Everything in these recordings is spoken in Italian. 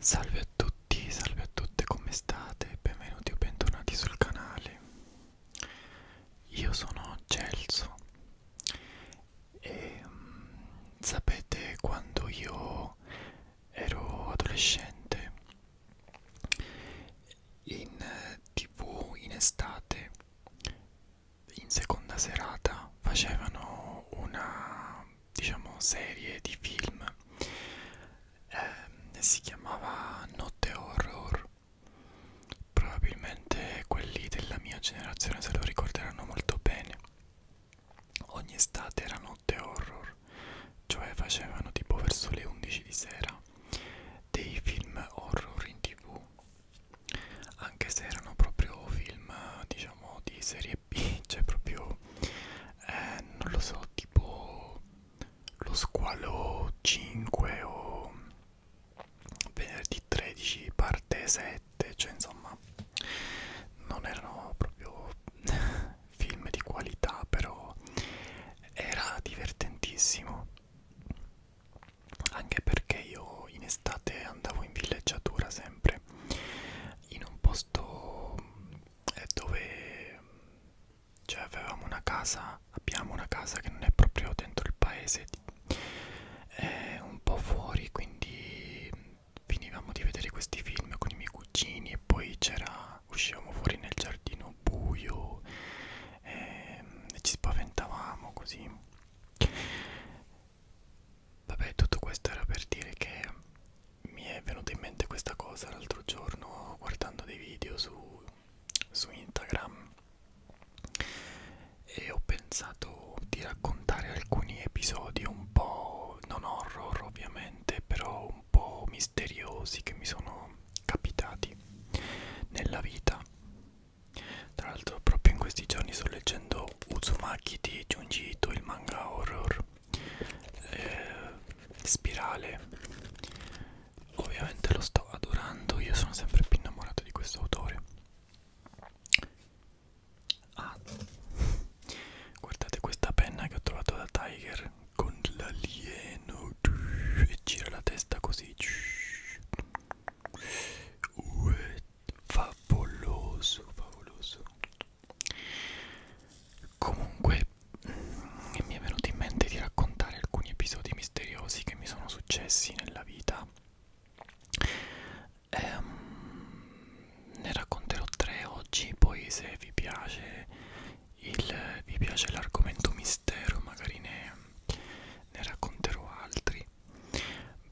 Salve a tutti, salve a tutte, come state? Benvenuti o bentornati sul canale. Io sono Celso e mh, mm, sapete quando io ero adolescente in eh, tv in estate in seconda serata facevano una diciamo serie di film eh, si chiamava Notte Horror probabilmente quelli della mia generazione se lo ricorderanno molto bene ogni estate era Notte Horror cioè facevano tipo verso le 11 di sera dei film horror in tv anche se erano proprio film diciamo di serie serie B cioè proprio eh, non lo so tipo lo squalo 5 o venerdì 13 parte 7 cioè insomma non erano proprio film di qualità però era divertentissimo anche perché io in estate andavo in villeggiatura sempre in un posto eh, dove cioè avevamo una casa abbiamo una casa che non è proprio dentro il paese è eh, un po' fuori quindi finivamo di vedere questi film con i miei cugini e poi c'era uscivamo fuori nel giardino buio e, ehm, e ci spaventavamo così Vabbè, tutto questo era per dire che mi è venuta in mente questa cosa l'altro giorno guardando dei video su, su Instagram e ho pensato di raccontare alcuni episodi un po' non horror ovviamente, però un po' misteriosi che mi sono capitati nella vita. Tra l'altro proprio in questi giorni sto leggendo Uzumaki di Junji Ito, il manga horror eh, spirale ovviamente lo sto adorando io sono sempre più innamorato di questo autore ah, guardate questa penna che ho trovato da Tiger con l'alieno e gira la testa così Uè, favoloso favoloso Comunque mm, mi è venuto in mente di raccontare alcuni episodi misteriosi che mi sono successi nella vita. Ehm, ne racconterò tre oggi, poi se vi piace, il, vi piace l'argomento mistero magari ne, ne racconterò altri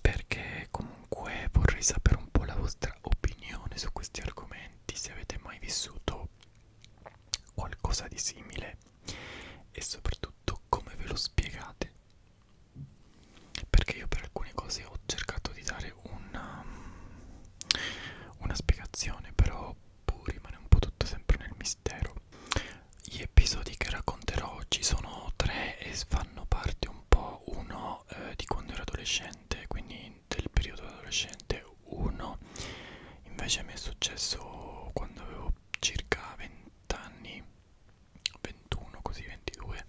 perché comunque vorrei sapere un po' la vostra opinione su questi argomenti, se avete mai vissuto qualcosa di simile e soprattutto come ve lo spiegate. Perché io per alcune cose ho cercato di dare una, um, una spiegazione, però poi boh, rimane un po' tutto sempre nel mistero. Gli episodi che racconterò oggi sono tre e fanno parte un po' uno eh, di quando ero adolescente adolescente, quindi del periodo adolescente 1. Invece mi è successo quando avevo circa 20 anni, 21 così 22.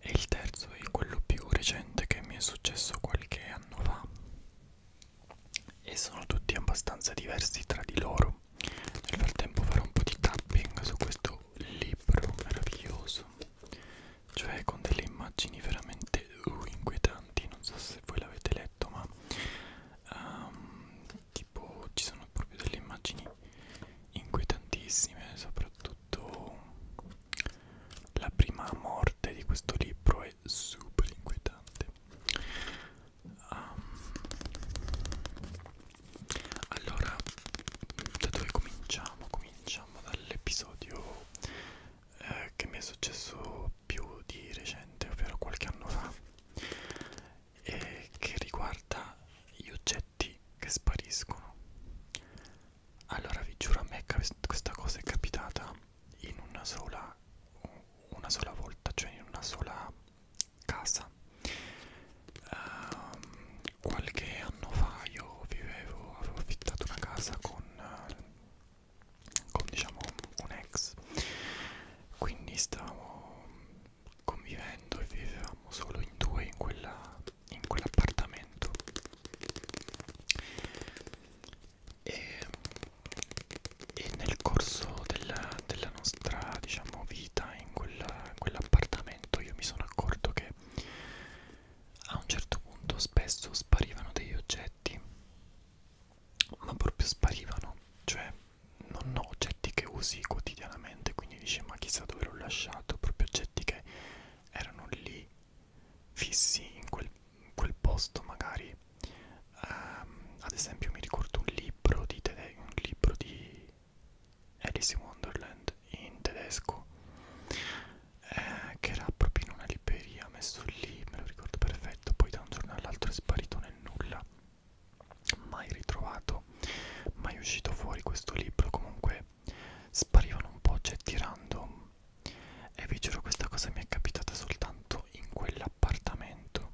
E il terzo è quello più recente che mi è successo qualche anno fa. E sono tutti abbastanza diversi tra di loro. Nel frattempo farò un po' di tapping su questo libro meraviglioso cioè con delle immagini veramente uh, inquietanti non so se voi l'avete letto ma um, tipo ci sono proprio delle immagini inquietantissime soprattutto la prima morte di questo libro è super inquietante um, allora da dove cominciamo? cominciamo cominciamo dall'episodio eh, che mi è successo più di recente, ovvero qualche anno fa, e che riguarda gli oggetti che spariscono. Allora vi giuro a me questa cosa è capitata in una sola, una sola volta, cioè in una sola casa um, qualche anno fa io vivevo, avevo affittato una casa con, eh, con diciamo un ex quindi stavamo convivendo e vivevamo solo in due in quell'appartamento quell e, e nel corso della, della nostra diciamo vita in quell'appartamento quell io mi sono accorto che a un certo punto spesso sparivano degli oggetti, ma proprio sparivano, cioè non ho oggetti che usi quotidianamente, quindi dici ma chissà dove l'ho lasciato, proprio oggetti che erano lì fissi in quel, in quel posto magari. Um, ad esempio mi ricordo un libro di, un libro di Alice in Wonderland in tedesco eh, che era proprio in una libreria messo lì, me lo ricordo perfetto, poi da un giorno all'altro è sparito nel nulla mai ritrovato, mai uscito fuori questo libro, comunque sparivano un po' oggetti cioè, random e vi giuro questa cosa mi è capitata soltanto in quell'appartamento,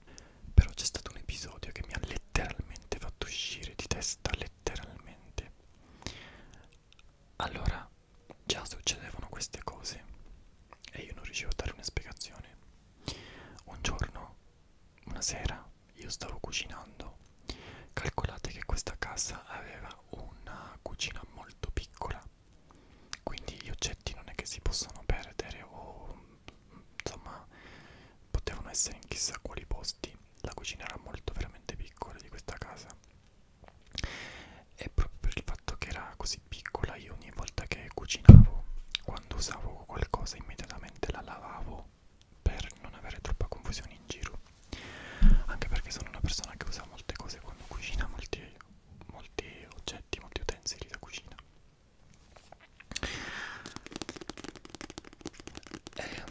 però c'è stato un episodio che mi ha letteralmente fatto uscire di testa, letteralmente allora già succedevano queste cose e io non riuscivo a dare una spiegazione. Un giorno, una sera, io stavo cucinando. Calcolate che questa casa aveva una cucina molto piccola, quindi gli oggetti non è che si possano perdere o insomma potevano essere in chissà quali posti la cucina era molto veramente piccola di questa casa e proprio per il fatto che era così piccola io ogni volta che cucinavo quando usavo qualcosa immediatamente la lavavo per non avere troppa confusione in giro anche perché sono una persona che usa molte cose quando cucina molti, molti oggetti molti utensili da cucina eh,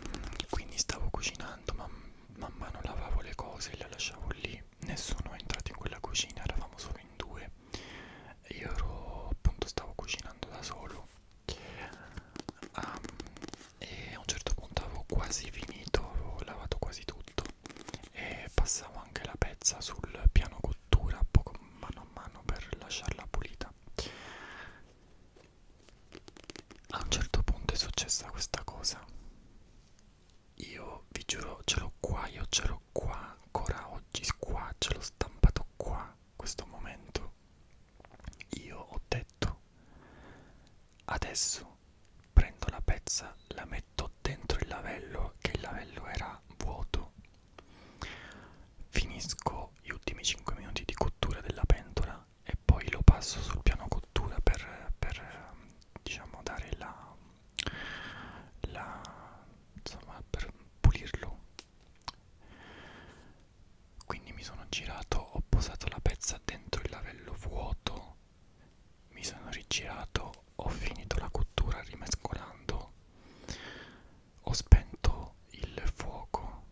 quindi stavo cucinando man, man mano lavavo le cose e le lasciavo lì nessuno è entrato in quella cucina eravamo solo in due io ero appunto stavo cucinando da solo um, e a un certo punto avevo quasi finito avevo lavato quasi tutto e passavo anche la pezza sul piano cottura poco mano a mano per lasciarla pulita a un certo punto è successa questa cosa io vi giuro ce l'ho qua io ce l'ho qua ancora oggi qua ce l'ho stampato qua questo momento io ho detto adesso prendo la pezza la metto dentro il lavello che il lavello era vuoto finisco gli ultimi 5 minuti di cottura della pentola e poi lo passo sul piano cottura per, per diciamo dare la, la insomma per pulirlo quindi mi sono girato ho posato la pezza dentro il lavello vuoto mi sono rigirato ho finito la cottura rimescolando ho spento il fuoco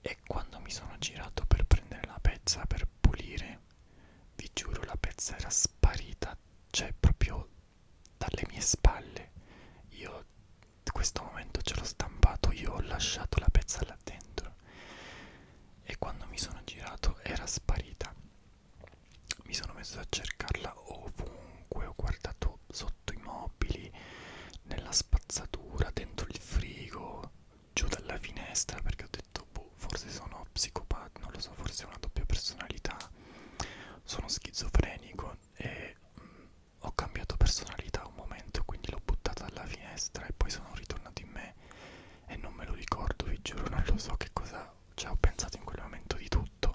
e quando mi sono girato per prendere la pezza per pulire, vi giuro la pezza era sparita, cioè proprio dalle mie spalle. Io questo momento ce l'ho stampato, io ho lasciato la pezza là dentro e quando mi sono girato era sparita. Mi sono messo a cercarla ovunque, ho guardato sotto i mobili, nella spazzatura, dentro il frigo, giù dalla finestra perché ho detto boh, forse sono psicopatico, non lo so, forse ho una doppia personalità, sono schizofrenico e mh, mm, ho cambiato personalità un momento, quindi l'ho buttata dalla finestra e poi sono ritornato in me e non me lo ricordo, vi giuro, non lo so che cosa, cioè ho pensato in quel momento di tutto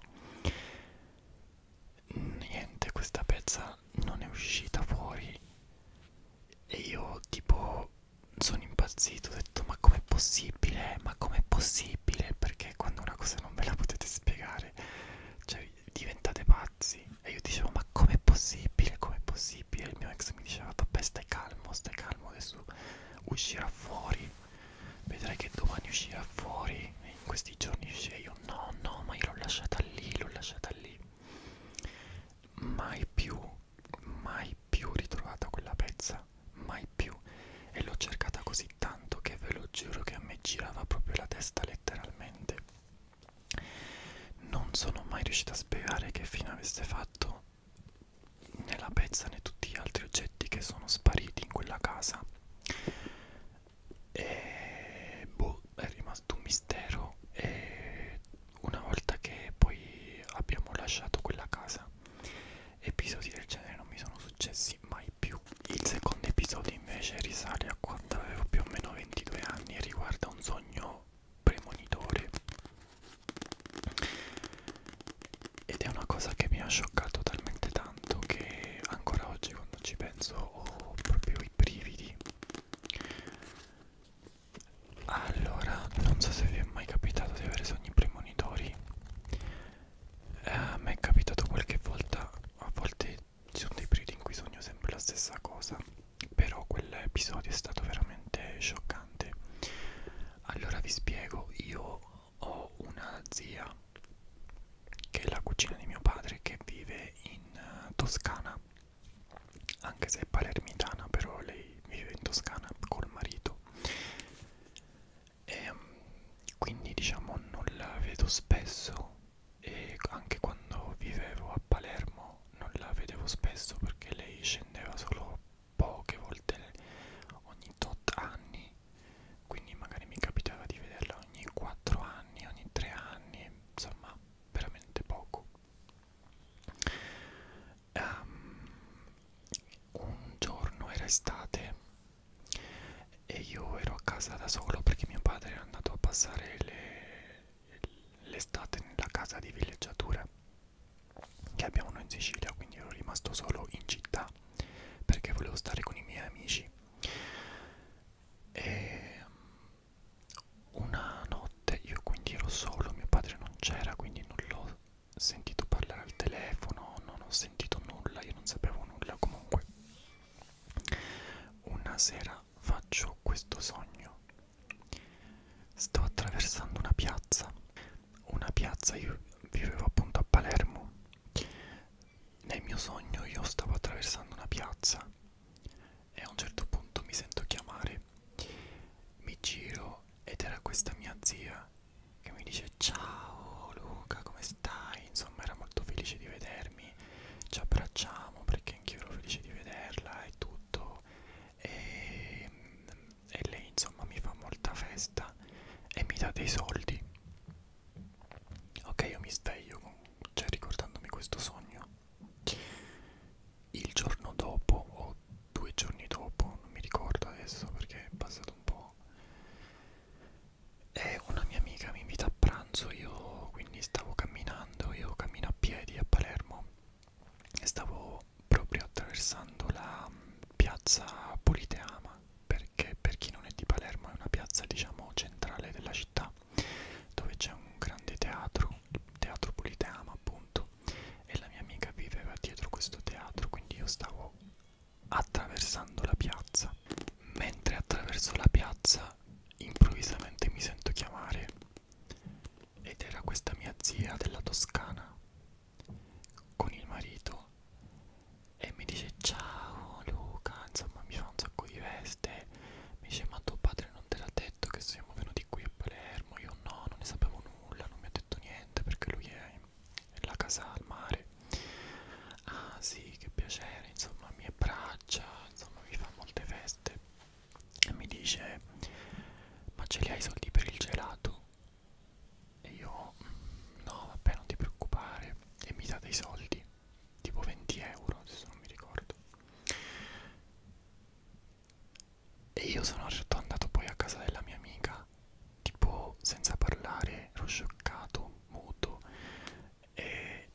niente questa pezza non è uscita fuori e io tipo sono impazzito ho detto ma com'è possibile ma com'è possibile perché quando una cosa non ve la potete spiegare cioè diventate pazzi e io dicevo ma com'è possibile com'è possibile il mio ex mi diceva vabbè stai calmo stai calmo adesso uscirà fuori vedrai che domani uscirà fuori e in questi giorni uscirà io no no ma io l'ho lasciata lì l'ho lasciata lì mai più mai più ritrovata quella pezza mai più e l'ho cercata così tanto che ve lo giuro che a me girava proprio la testa letteralmente non sono mai riuscita a spiegare che fine avesse fatto né la pezza né tutti gli altri oggetti che sono spariti in quella casa e boh, è rimasto un mistero e una volta che poi abbiamo lasciato quella casa episodi del genere non mi sono successi mai più il secondo episodio invece risale a quando avevo più o meno 22 anni e riguarda un sogno premonitore ed è una cosa che mi ha scioccato talmente tanto che ancora oggi quando ci penso ho proprio i brividi allora, non so se vi è mai capitato di avere sogni premonitori. Eh, a me è capitato qualche volta, a volte ci sono dei periodi in cui sogno sempre la stessa cosa, però quell'episodio è stato veramente scioccante. Allora vi spiego, io ho una zia che è la cucina di mio padre che vive in uh, Toscana, anche se è palermitana, però lei vive in Toscana col marito. E, um, quindi diciamo non la vedo spesso e anche quando vivevo a Palermo non la vedevo spesso perché lei scendeva solo poche volte ogni tot anni quindi magari mi capitava di vederla ogni 4 anni, ogni 3 anni insomma veramente poco. Um, un giorno era estate e io ero a casa da solo perché mio padre era andato a passare l'estate le, nella casa di villeggiatura che abbiamo noi in Sicilia, quindi ero rimasto solo in città perché volevo stare con i miei amici. E ehm, una notte io quindi ero solo, mio padre non c'era, quindi non l'ho sentito parlare al telefono, non ho sentito nulla, io non sapevo nulla comunque. Una sera faccio questo sogno. Sto attraversando una piazza, una piazza, io vivevo appunto a Palermo. Nel mio sogno io stavo attraversando una piazza e a un certo punto mi sento chiamare mi giro ed era questa mia zia che mi dice ciao Luca come stai insomma era molto felice di vedermi ci abbracciamo perché anch'io ero felice di vederla e tutto e, e lei insomma mi fa molta festa e mi dà dei soldi Ok, io mi sveglio, cioè ricordandomi questo sogno. Il giorno dopo, o due giorni dopo, non mi ricordo adesso perché è passato un po'. E una mia amica mi invita a pranzo, io quindi stavo camminando, io cammino a piedi a Palermo e stavo proprio attraversando la mm, piazza Politeama perché per chi non è di Palermo è una piazza diciamo centrale della città dove c'è un grande teatro, il teatro Politeama appunto, e la mia amica viveva dietro questo teatro, quindi io stavo attraversando la piazza. Mentre attraverso la piazza improvvisamente mi sento chiamare ed era questa mia zia della Toscana con il marito e mi dice ciao Luca, insomma mi fa un sacco di veste mi dice ma tuo padre non te l'ha detto che siamo venuti qui a Palermo io no non ne sapevo nulla non mi ha detto niente perché lui è la casa al mare ah sì che piacere insomma mi abbraccia insomma mi fa molte feste e mi dice ma ce li hai i soldi per il gelato e io no vabbè non ti preoccupare e mi dà dei soldi tipo 20 euro adesso non mi ricordo e io sono certo andato poi a casa della mia amica tipo senza parlare ero scioccato muto e,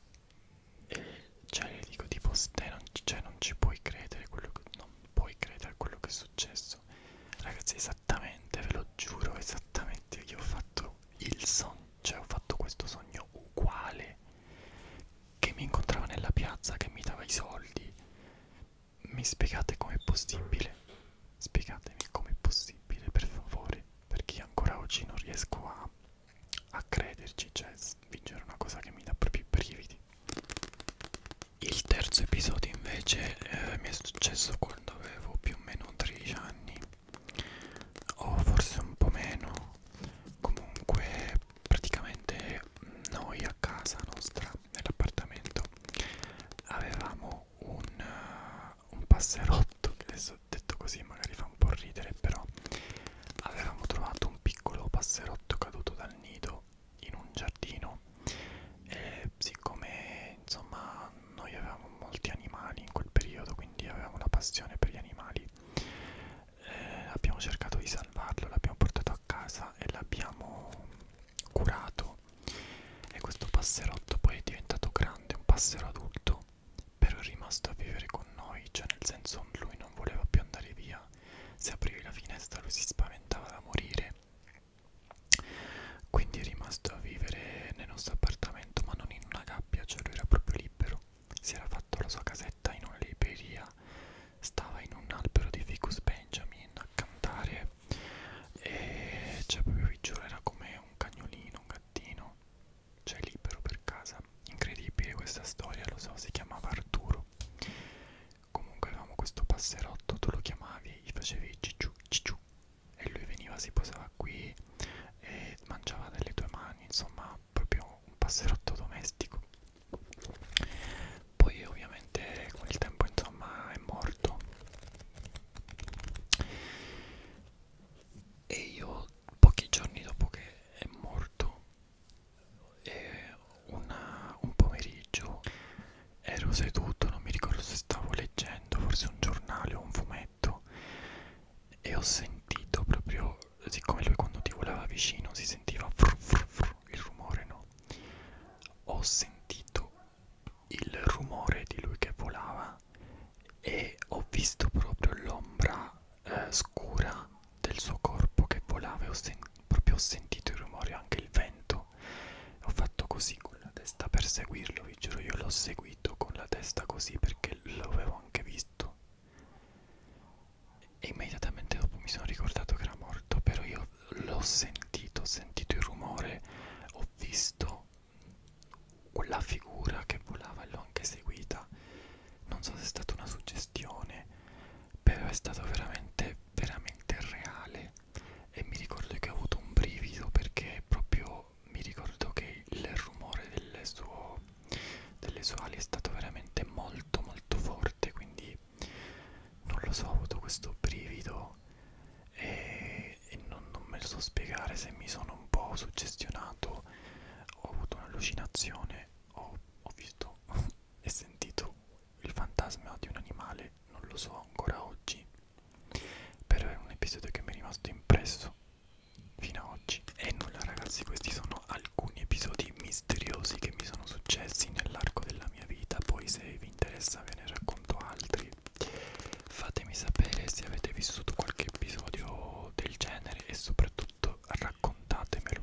e cioè le dico tipo te non, cioè, non ci puoi credere quello che, non puoi credere a quello che è successo ragazzi esattamente ve lo giuro esattamente io ho fatto il sogno cioè ho fatto questo sogno uguale me, che mi incontrava nella piazza, che mi dava i soldi. Mi spiegate com'è possibile? Spiegatemi com'è possibile, per favore, perché ancora oggi non riesco a, a crederci, cioè vincere una cosa che mi dà proprio i brividi. Il terzo episodio invece eh, mi è successo quando avevo più o meno 13 anni o forse un po' meno comunque praticamente noi a casa nostra nell'appartamento avevamo un, uh, un passerotto che adesso detto così magari fa un po' ridere però avevamo trovato un piccolo passerotto caduto dal nido in un giardino e siccome insomma noi avevamo molti animali in quel periodo quindi avevamo una passione per gli animali eh, abbiamo cercato di salvarlo, l'abbiamo portato a casa e l'abbiamo curato e questo passerotto poi è diventato grande, un passero adulto, però è rimasto a vivere con noi, cioè nel senso lui non voleva più andare via, se aprivi la finestra lui si spaventava da morire, quindi è rimasto a vivere nel nostro appartamento ma non in una gabbia, cioè lui era proprio libero si era fatto la sua casetta in una libreria, stava in un albero di Ficus Benjamin a cantare e cioè proprio vi giuro era come un cagnolino, un gattino, cioè libero per casa. Incredibile questa storia, lo so, si chiamava Arturo. Comunque avevamo questo passerotto, tu lo chiamavi, gli facevi cicciu cicciu e lui veniva, si posava qui e mangiava delle tue mani, insomma proprio un passerotto domestico poi ovviamente con il tempo insomma è morto e io pochi giorni dopo che è morto e eh, una, un pomeriggio ero seduto non mi ricordo se stavo leggendo forse un giornale o un fumetto e ho sentito proprio, siccome lui quando ti volava vicino si sentiva fru fru fru, il rumore no, ho sentito il rumore di lui che volava e ho visto proprio l'ombra eh, scura del suo corpo che volava e ho proprio ho sentito il rumore, anche il vento, ho fatto così con la testa per seguirlo, vi giuro io l'ho seguito con la testa così perché l'avevo anche visto morto e immediatamente dopo mi sono ricordato che era morto però io l'ho sentito ho sentito il rumore ho visto quella figura che volava e l'ho anche seguita non so se è stata una suggestione però è stato veramente veramente reale e mi ricordo che ho avuto un brivido perché proprio quando mi ricordo che il rumore delle, suo, delle sue ali è stato veramente molto molto forte quindi non lo so ho avuto questo brivido e, e non, non me lo so spiegare se mi sono un po' suggestionato ho avuto un'allucinazione ho, ho visto e sentito il fantasma di un animale non lo so ancora oggi però è un episodio che mi è rimasto impresso fino a oggi e nulla ragazzi questi sono alcuni episodi misteriosi che mi sono successi nell'arco della mia vita poi se vi interessa ve ne racconto altri fatemi sapere se avete vissuto qualche episodio del genere e soprattutto raccontatemelo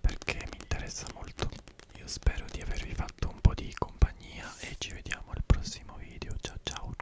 perché mi interessa molto io spero di avervi fatto un po' di compagnia e ci vediamo al prossimo video ciao ciao